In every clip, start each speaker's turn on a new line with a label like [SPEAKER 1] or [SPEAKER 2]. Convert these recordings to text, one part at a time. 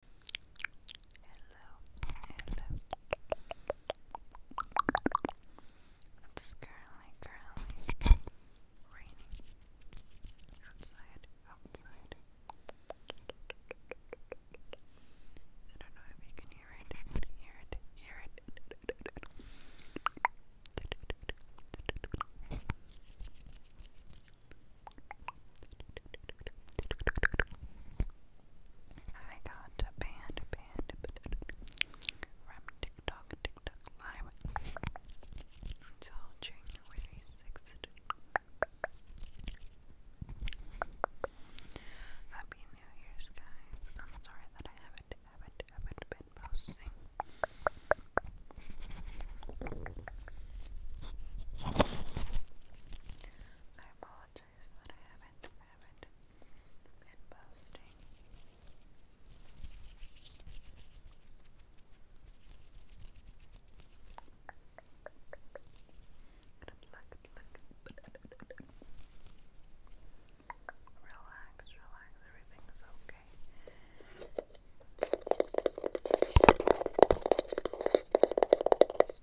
[SPEAKER 1] Hello, hello. It's currently, currently raining outside, outside. I don't know if you can hear it, hear it, hear it. I got a band, band, from TikTok, TikTok Live. Until January 6th. Happy New Year's, guys. I'm sorry that I haven't, haven't, haven't been posting. I apologize that I haven't haven't been posting. Relax, relax, everything's okay.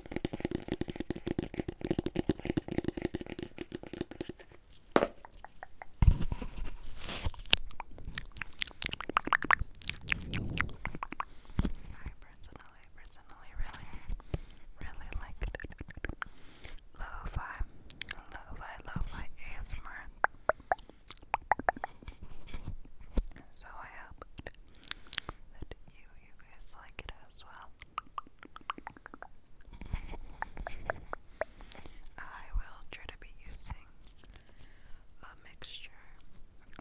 [SPEAKER 1] I personally, personally really, really like lo-fi, lo-fi, lo-fi ASMR. So I hope that you, you guys like it as well. I will try to be using a mixture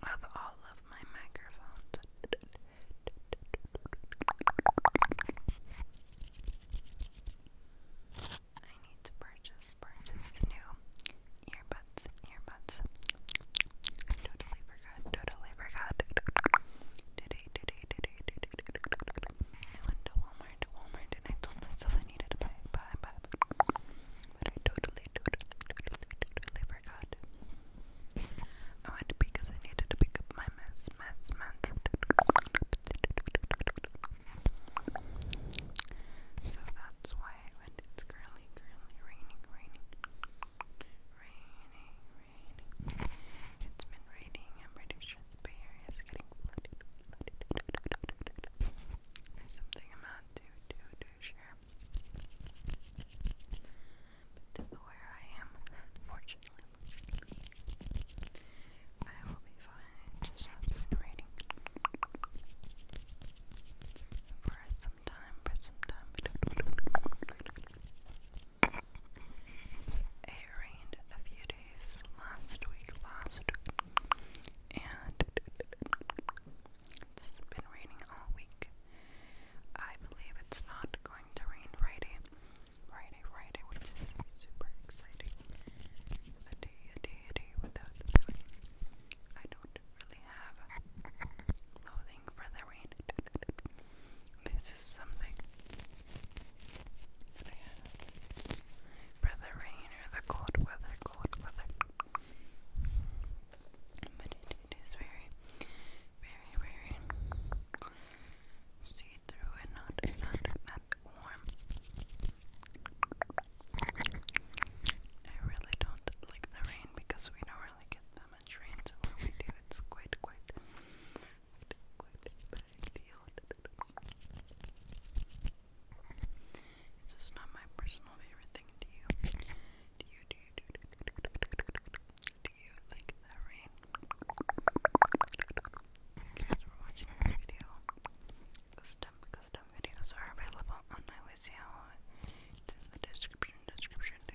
[SPEAKER 1] of all of my microphones. I need to purchase, purchase new earbuds, earbuds totally forgot. I went to Walmart, to Walmart, and I told myself I needed to buy, buy, but I totally, totally, totally, totally forgot. I went because I needed to pick up my mess, mess, mess. So that's why It's curly, curly, raining, raining, raining, raining. It's been raining. I'm pretty sure the Bay Area is getting flooded. There's something I'm not too, too, too sure. But where I am, fortunately, I will be fine. just been raining. For some time, for some time. It a few days last week, last week, and it's been raining all week. I believe it's not going to rain Friday, Friday, Friday, which is super exciting. A day, a day, a day without the rain. I don't really have clothing for the rain. This is something but yeah. For the rain or the cold weather, cold weather. But it is very, very, very see through and not, not, not warm. I really don't like the rain because we don't really get that much rain, so when we do, it's quite, quite it's just not my personal favorite thing. Do Do you? Do you? Do you? Do you like that rain? Thank you for watching this video. Custom, custom videos are available on my It's in the description. Description.